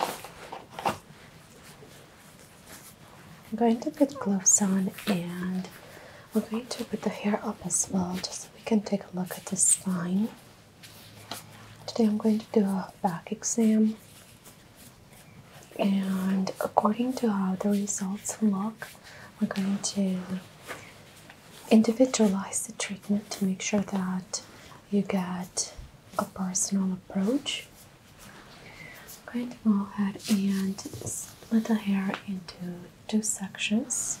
I'm going to put gloves on and we're going to put the hair up as well just so we can take a look at the spine. Today I'm going to do a back exam and according to how the results look, we're going to individualize the treatment to make sure that you get a personal approach. I'm going to go ahead and split the hair into two sections.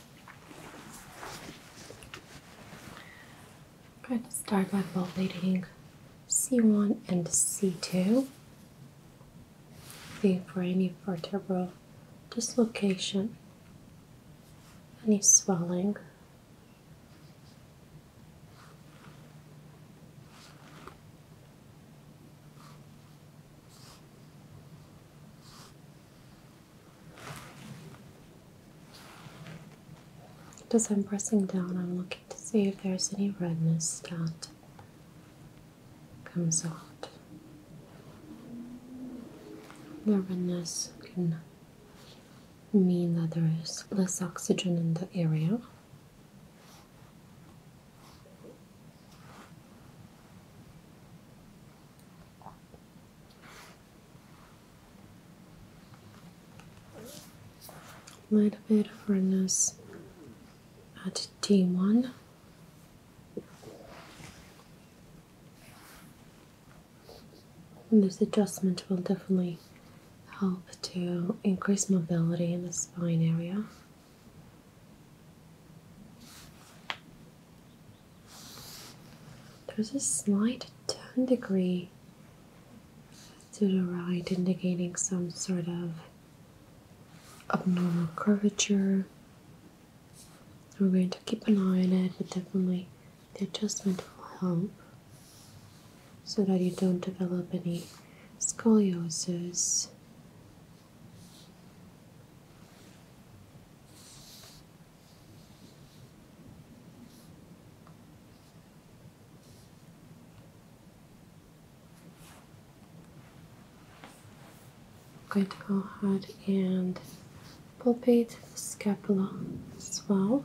i will start by palpating C1 and C2. Looking for any vertebral dislocation, any swelling. As I'm pressing down, I'm looking to see if there's any redness that comes out. redness can mean that there is less oxygen in the area little bit of redness at T1 this adjustment will definitely help to increase mobility in the spine area there's a slight 10 degree to the right, indicating some sort of abnormal curvature. We're going to keep an eye on it, but definitely the adjustment will help so that you don't develop any scoliosis. I'm going to go ahead and palpate the scapula as well.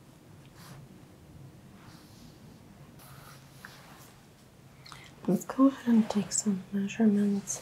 Let's go ahead and take some measurements.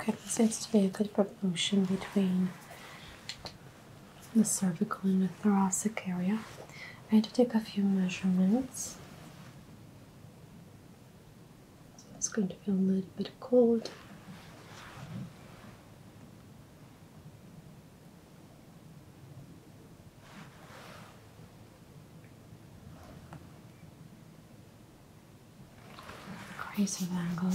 Okay, this seems to be a good proportion between the cervical and the thoracic area. I need to take a few measurements it's going to feel a little bit cold. Crazy angle.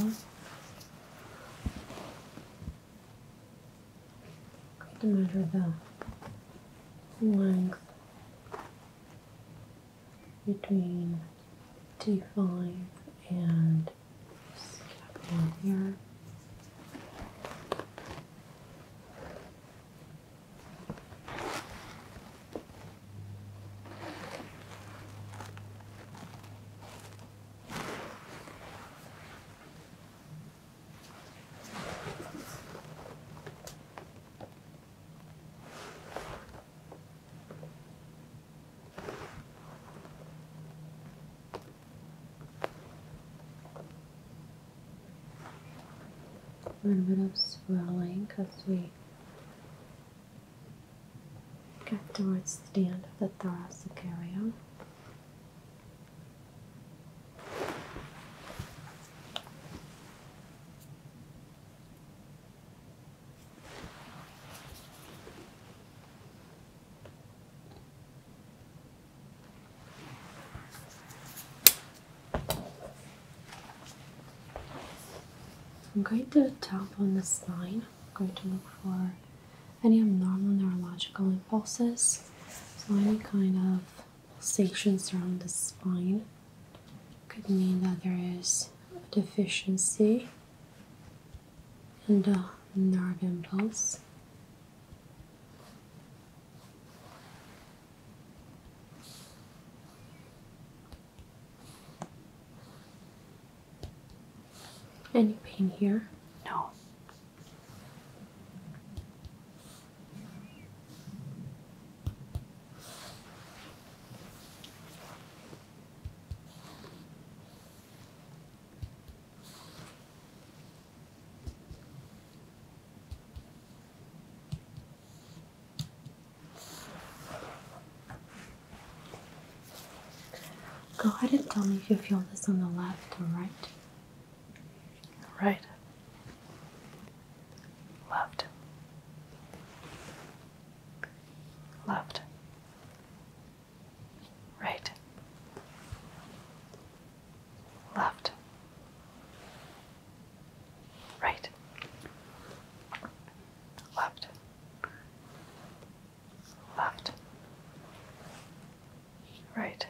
Going to measure the length between T 5 and here. A little bit of swelling because we got towards the end of the thoracic area. I'm going to tap on the spine. I'm going to look for any abnormal neurological impulses, so any kind of pulsations around the spine could mean that there is a deficiency and a uh, nerve impulse. Any pain here? No. Go ahead and tell me if you feel this on the left or right. Right. Left. Loved. Right. Loved. Right. Loved. Loved. Right.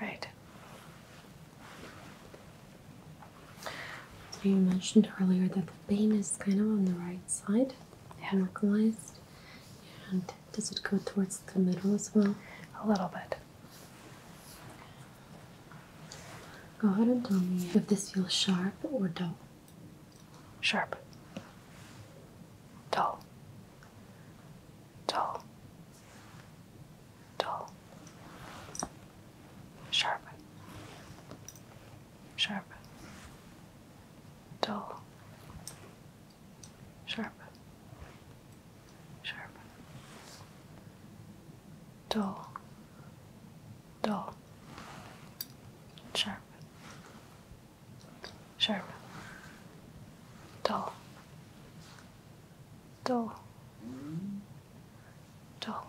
Right. So you mentioned earlier that the vein is kind of on the right side, yeah. localized, and does it go towards the middle as well? A little bit. Go ahead and tell me if this feels sharp or dull. Sharp. Dull. Dull. Dull. Sharp sharp, dull, sharp, sharp, dull, dull, sharp, sharp, dull, dull, dull,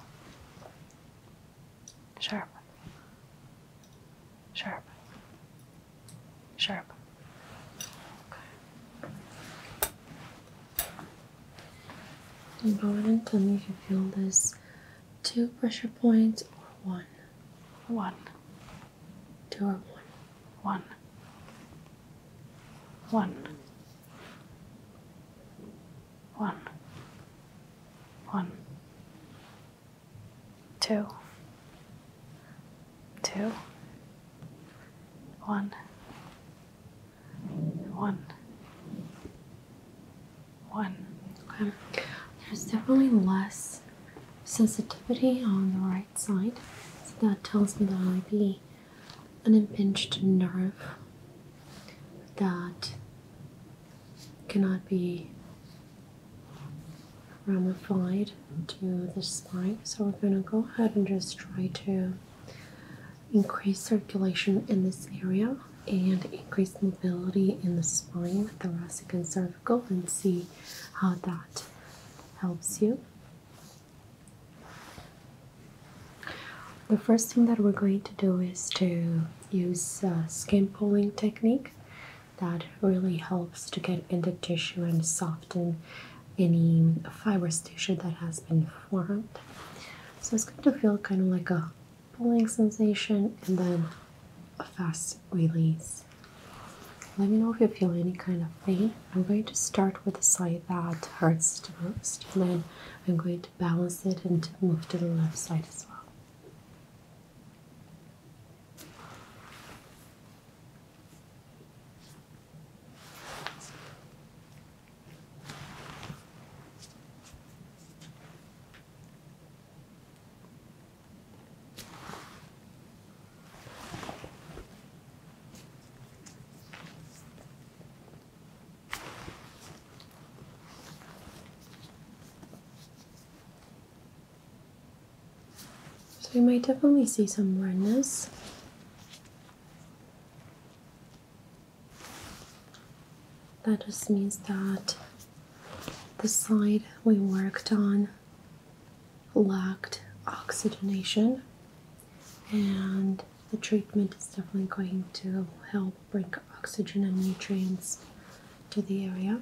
sharp, sharp, sharp. And go ahead and tell me if you feel this two pressure points or one. One. Two or one. One. One. One. One. Two. Two. One. One. One. Okay. There's definitely less sensitivity on the right side. So that tells me there might be an impinged nerve that cannot be ramified to the spine. So we're going to go ahead and just try to increase circulation in this area and increase mobility in the spine, thoracic and cervical, and see how that helps you. The first thing that we're going to do is to use uh, skin pulling technique that really helps to get into tissue and soften any fibrous tissue that has been formed. So it's going to feel kind of like a pulling sensation and then a fast release. Let me know if you feel any kind of pain. I'm going to start with the side that hurts the most and then I'm going to balance it and to move to the left side as well. So you might definitely see some redness. That just means that the slide we worked on lacked oxygenation, and the treatment is definitely going to help bring oxygen and nutrients to the area.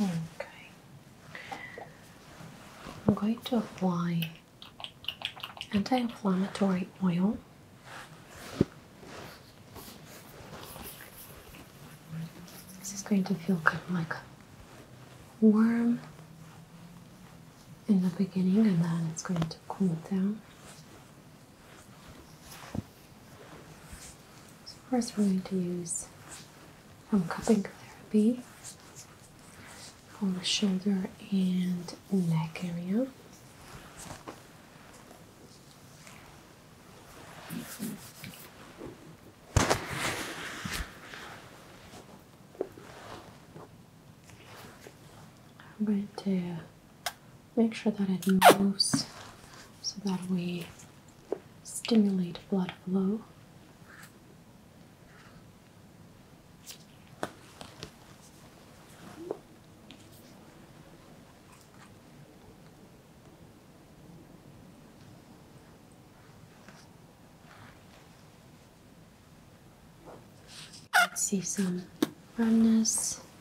Okay. I'm going to apply anti-inflammatory oil. This is going to feel kind of like warm in the beginning and then it's going to cool down. So first we're going to use some um, cupping therapy on the shoulder and neck area. I'm going to Make sure that it moves so that we stimulate blood flow. see some roundness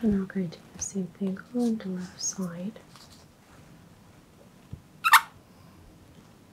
I'm going to do the same thing on the left side.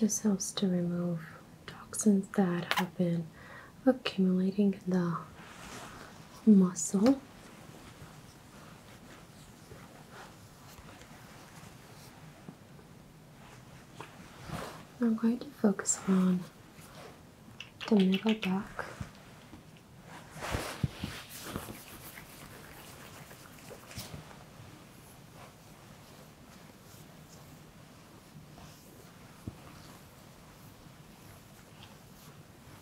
This helps to remove toxins that have been accumulating the muscle. I'm going to focus on the middle back.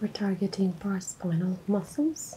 We're targeting paraspinal muscles.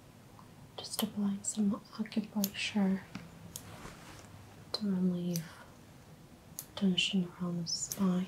Just applying some acupuncture to relieve tension around the spine.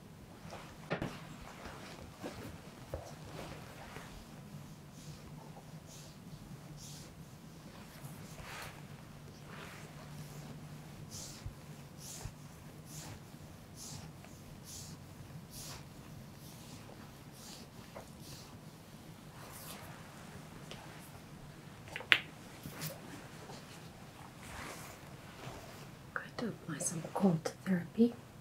Got to apply some cold therapy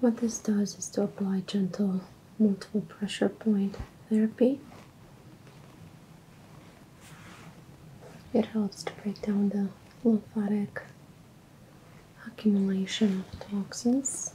What this does is to apply gentle multiple pressure point therapy. It helps to break down the lymphatic accumulation of toxins.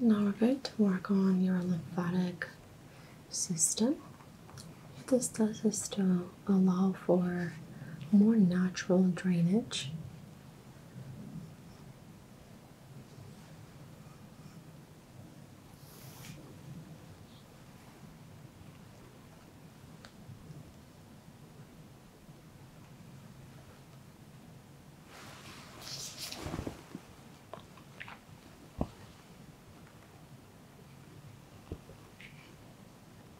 Now we're going to work on your lymphatic system. This does is to um, allow for more natural drainage.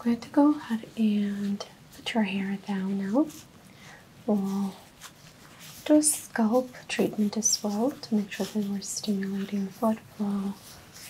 i going to go ahead and put your hair down now. We'll do a scalp treatment as well to make sure that we're stimulating blood flow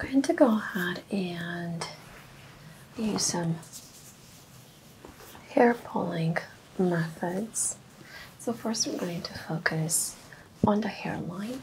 I'm going to go ahead and use some hair pulling methods. So first we're going to focus on the hairline.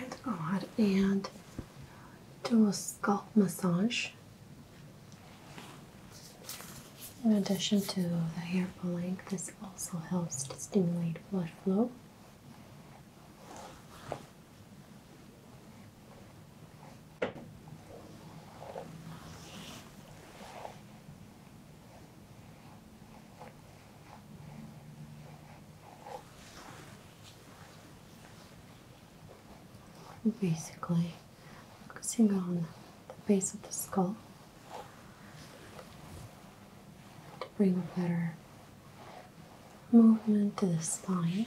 Right, go ahead and do a scalp massage. In addition to the hair pulling, this also helps to stimulate blood flow. Basically, focusing on the base of the skull to bring a better movement to the spine.